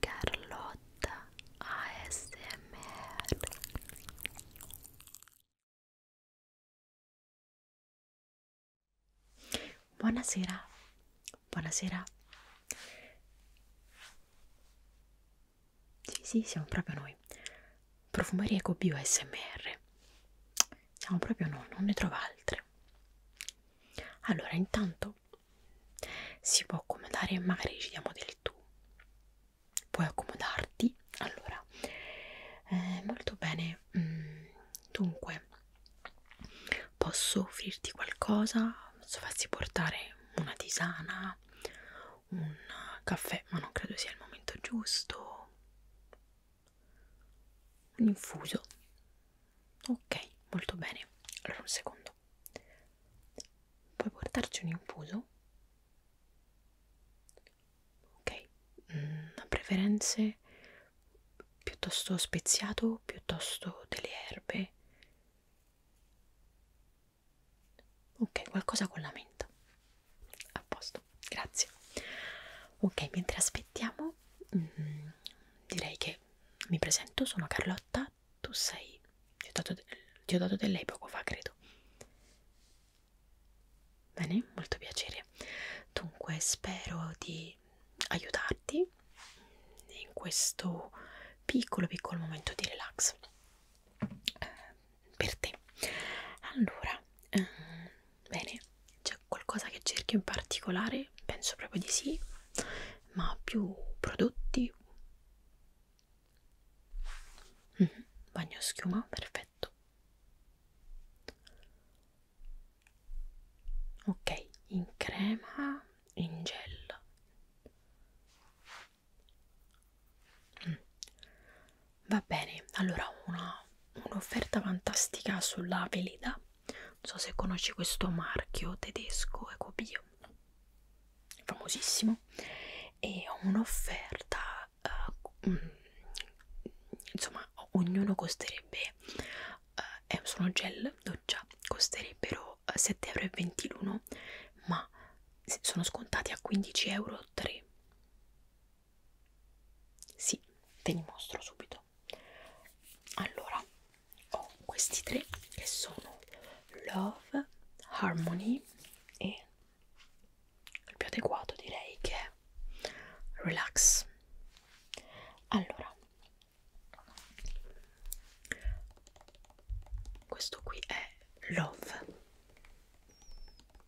Carlotta ASMR Buonasera, buonasera. Sì, sì, siamo proprio noi. Profumeria Ecobio ASMR. Siamo proprio noi, non ne trovo altre altre allora intanto si può accomodare e magari ci diamo del tu puoi accomodarti allora eh, molto bene mm, dunque posso offrirti qualcosa posso farsi portare una tisana un caffè ma non credo sia il momento giusto un infuso ok molto bene allora un secondo puoi portarci un infuso ok mm, a preferenze piuttosto speziato piuttosto delle erbe ok qualcosa con la menta a posto grazie ok mentre aspettiamo mm, direi che mi presento, sono Carlotta, tu sei, ti ho dato, ti ho dato del lei poco fa credo. Bene, molto piacere. Dunque spero di aiutarti in questo piccolo piccolo momento di relax eh, per te. Allora, eh, Bene, c'è qualcosa che cerchi in particolare? Penso proprio di sì, ma più prodotti. Mm -hmm. Bagno schiuma, perfetto. Ok, in crema, in gel. Mm. Va bene, allora un'offerta un fantastica sulla veleda non so se conosci questo marchio tedesco Ecobio famosissimo e ho un'offerta uh, insomma ognuno costerebbe uh, è, sono gel doccia costerebbero 7,21 eh, euro ma sono scontati a 15,3 euro sì, te li mostro subito. Allora, ho questi tre che sono Love, Harmony e il più adeguato direi che è Relax. Allora, questo qui è Love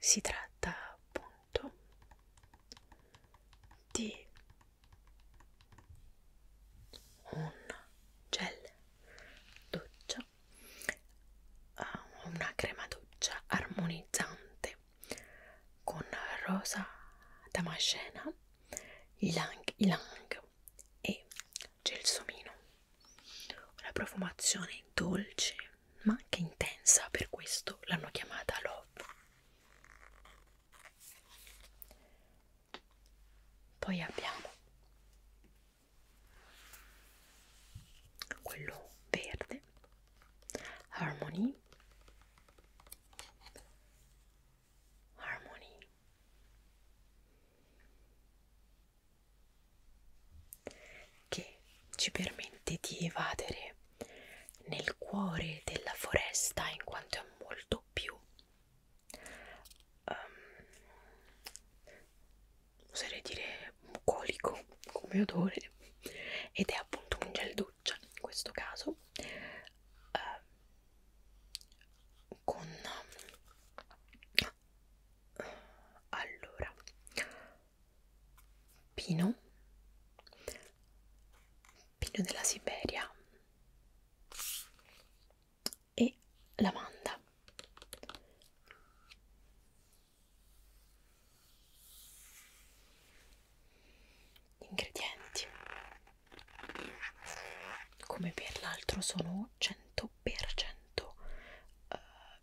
si tratta appunto di un gel doccia ah, una crema doccia armonizzante con rosa damascena ylang ylang e gelsomino una profumazione dolce ma anche intensa, per questo l'hanno chiamata Love. Poi abbiamo quello verde, Harmony, Harmony che ci permette di evadere nel cuore della foresta in quanto è molto più um, oserei dire bucolico come odore ed è appunto un gel doccia in questo caso uh, con allora pino, pino della Siberia e lavanda. Gli ingredienti come per l'altro sono 100% uh, eh,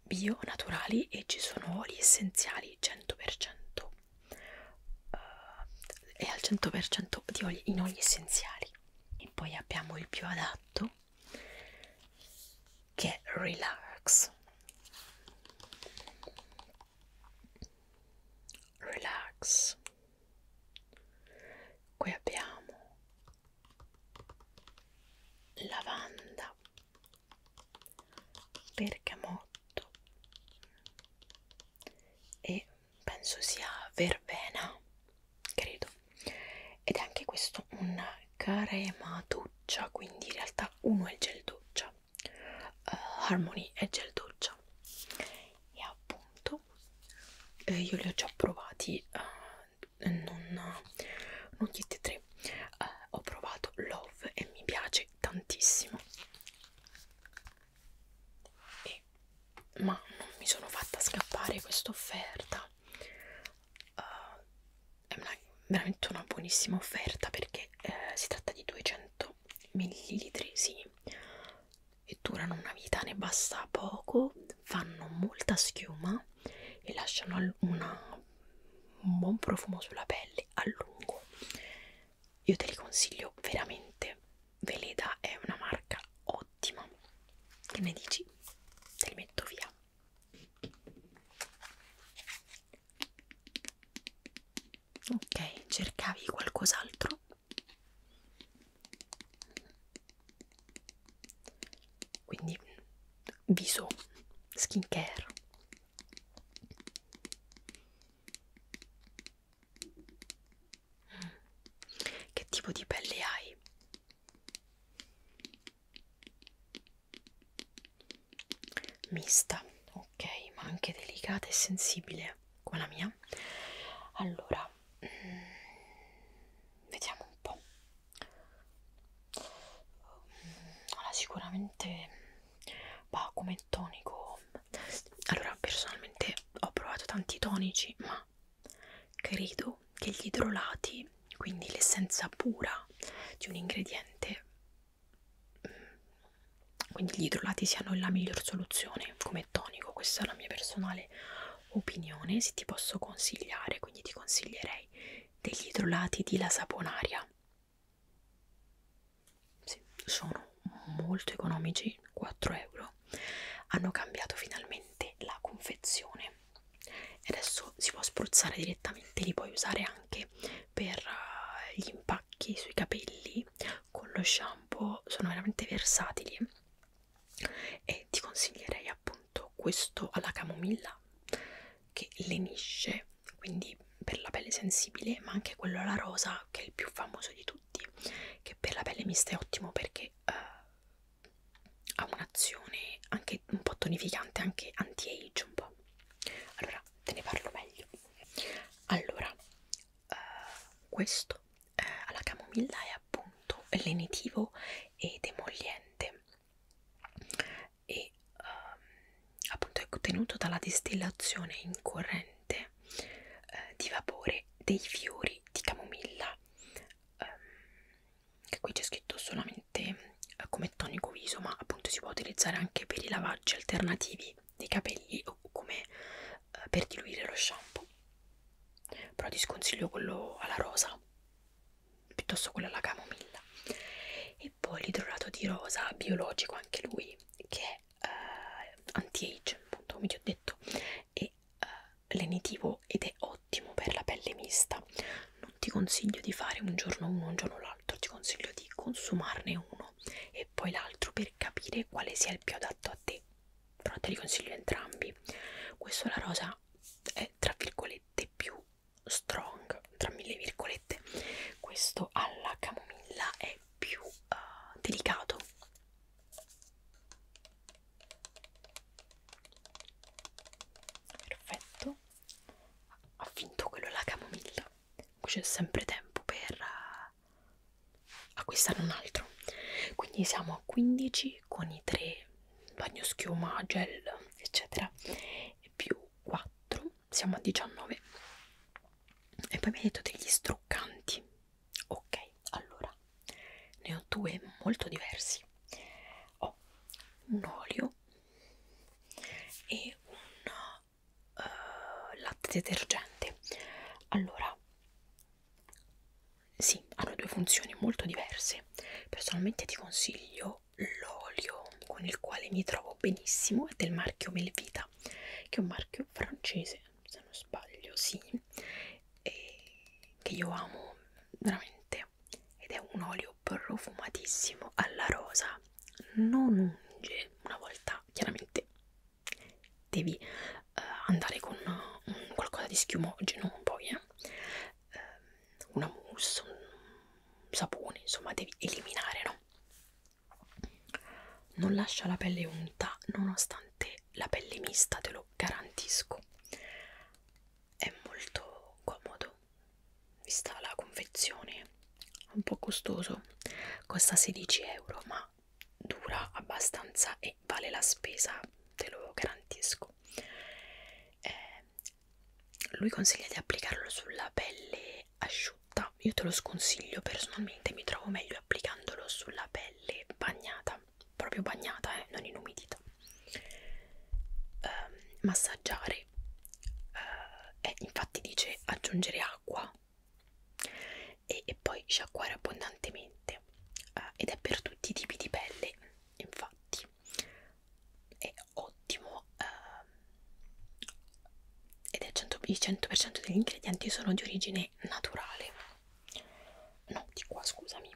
bio naturali e ci sono oli essenziali 100% uh, eh, e al 100% di oli, in oli essenziali e poi abbiamo il più adatto che è relax relax qui abbiamo lavanda bergamotto e penso sia verbena credo ed è anche questo un crema doccia quindi in realtà uno è il gel doccia uh, Harmony è gel doccia e appunto eh, io li ho già provati uh, eh, non, non chiedi tre uh, ho provato Love e mi piace tantissimo e, ma non mi sono fatta scappare questa offerta uh, è una, veramente una buonissima offerta perché uh, si tratta di 200 millilitri sì e durano una vita ne basta poco fanno molta schiuma e lasciano una, un buon profumo sulla pelle a lungo io te li consiglio veramente Veleda è una marca ottima che ne dici? te li metto via ok cercavi qualcos'altro quindi viso skincare mm. che tipo di pelle hai? Mista, ok, ma anche delicata e sensibile come la mia. Allora, mm, vediamo un po'. Allora, sicuramente va come tonico. Allora, personalmente ho provato tanti tonici, ma credo che gli idrolati, quindi l'essenza pura di un ingrediente, mm, quindi gli idrolati siano la miglior soluzione come tonico. Questa è la mia personale opinione. Se ti posso consigliare, quindi ti consiglierei degli idrolati di la saponaria. Sì, sono molto economici, 4 euro. Hanno cambiato finalmente la confezione e adesso si può spruzzare direttamente, li puoi usare anche per eh, gli impacchi sui capelli con lo shampoo, sono veramente versatili e ti consiglierei appunto questo alla camomilla che lenisce quindi per la pelle sensibile ma anche quello alla rosa che è il più famoso di tutti che per la pelle mista è ottimo perché uh, ha un'azione anche un po' tonificante anche anti-age un po' allora te ne parlo meglio allora uh, questo uh, alla camomilla è appunto lenitivo ed emoliente e um, appunto è ecco, ottenuto dalla distillazione in corrente eh, di vapore dei fiori di camomilla um, che qui c'è scritto solamente eh, come tonico viso ma appunto si può utilizzare anche per i lavaggi alternativi dei capelli o come eh, per diluire lo shampoo però ti sconsiglio quello alla rosa piuttosto quello alla camomilla e poi l'idrolato di rosa biologico anche lui che è eh, anti-age appunto come vi ho detto è eh, lenitivo ed è ottimo per la pelle mista non ti consiglio di fare un giorno uno un giorno l'altro ti consiglio di consumarne uno e poi l'altro per capire quale sia il più adatto a te però te li consiglio entrambi questo la rosa è è tra virgolette più strong tra mille virgolette questo alla camomilla è più uh, delicato perfetto ha finto quello alla camomilla c'è sempre tempo per uh, acquistare un altro quindi siamo a 15 e con i tre bagnoschiuma, gel eccetera e più 4 siamo a 19 e poi mi hai detto degli struccanti ok allora ne ho due molto diversi ho un olio e un uh, latte detergente allora sì, hanno due funzioni molto diverse. Personalmente ti consiglio l'olio con il quale mi trovo benissimo, è del marchio Melvita, che è un marchio francese, se non sbaglio, sì, e che io amo veramente. Ed è un olio profumatissimo alla rosa, non unge, una volta chiaramente devi eh, andare con una, un qualcosa di schiumogeno poi eh, eh, una mousse un sapone insomma devi eliminare no non lascia la pelle unta nonostante la pelle mista te lo garantisco è molto comodo vista la confezione un po' costoso costa 16 euro ma dura abbastanza e vale la spesa, te lo garantisco. Eh, lui consiglia di applicarlo sulla pelle asciutta, io te lo sconsiglio personalmente, mi trovo meglio applicandolo sulla pelle bagnata, proprio bagnata, eh, non inumidita. Eh, massaggiare, eh, infatti dice aggiungere acqua e, e poi sciacquare abbondantemente eh, ed è per tutti i tipi di pelle infatti è ottimo eh, ed è 100%, il 100% degli ingredienti sono di origine naturale no di qua scusami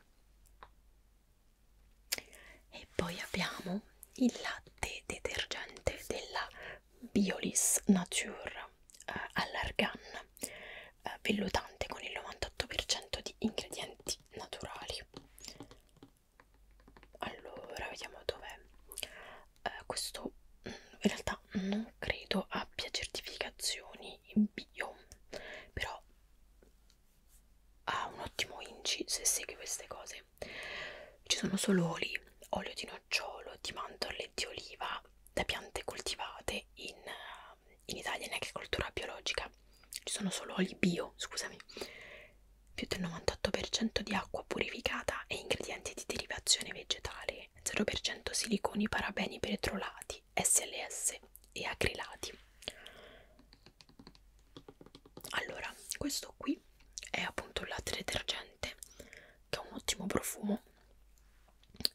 e poi abbiamo il latte detergente della Biolis Nature eh, all'argan eh, vellutante con il 98% di ingredienti naturali. Allora, vediamo dov'è. Eh, questo mm, in realtà non credo abbia certificazioni in bio, però ha un ottimo inci se segui queste cose. Ci sono solo oli, olio di nocciolo, di mandorle e di oliva da piante coltivate in eh, in Italia in agricoltura biologica ci sono solo oli bio, scusami, più del 98% di acqua purificata e ingredienti di derivazione vegetale, 0% siliconi, parabeni, petrolati, SLS e acrilati. Allora, questo qui è appunto il latte detergente che ha un ottimo profumo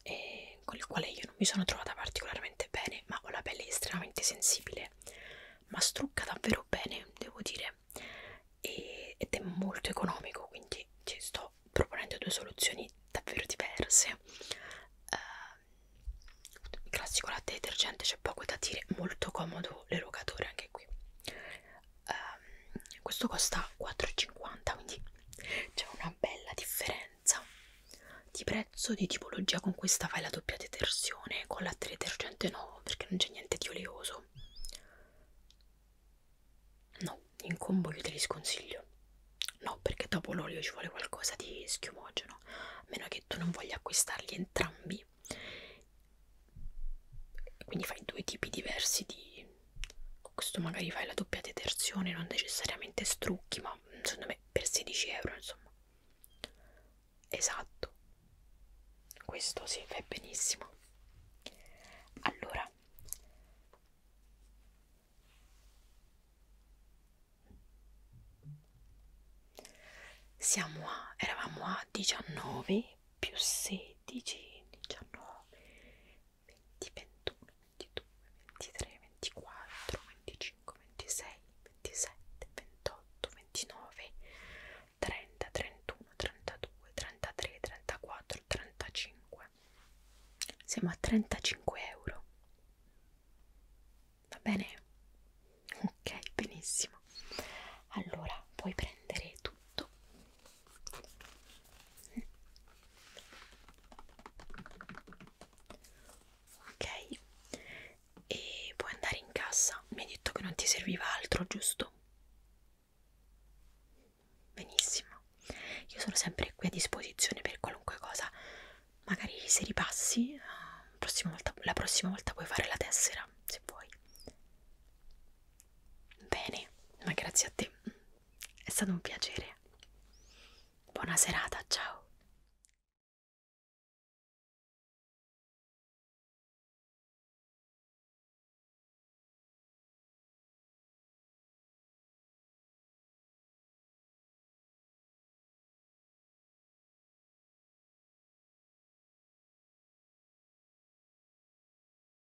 e con il quale io non mi sono trovata particolarmente bene, ma ho la pelle estremamente sensibile, ma strucca davvero bene, devo dire, e, ed è molto economico, quindi ci sto proponendo due soluzioni davvero diverse. Uh, ehm, il classico latte detergente, c'è poco da dire, molto comodo l'erogatore anche qui. Uh, questo costa 4,50, quindi c'è una bella differenza di prezzo di tipologia con questa fai la doppia detersione, con la detergente no, perché non c'è niente di oleoso. No, in combo io te li sconsiglio. No, perché dopo l'olio ci vuole qualcosa di schiumogeno, a meno che tu non voglia acquistarli entrambi. Quindi fai due tipi diversi di questo magari fai la doppia detersione non necessariamente strucchi ma secondo me per 16 euro insomma esatto questo si sì, fa benissimo allora siamo a eravamo a 19 più 16 19 20, 21, 22, 23, 24, 25, 26, 27, 28, 29, 30, 31, 32, 33, 34, 35. Siamo a 35 euro. Va bene? Ok, benissimo. Allora puoi prendere tutto ok e puoi andare in cassa mi hai detto che non ti serviva altro giusto benissimo io sono sempre qui a disposizione per qualunque cosa magari se ripassi la eh, prossima volta, la prossima volta puoi fare la tessera se vuoi bene ma grazie a te è stato un piacere. Buona serata, ciao.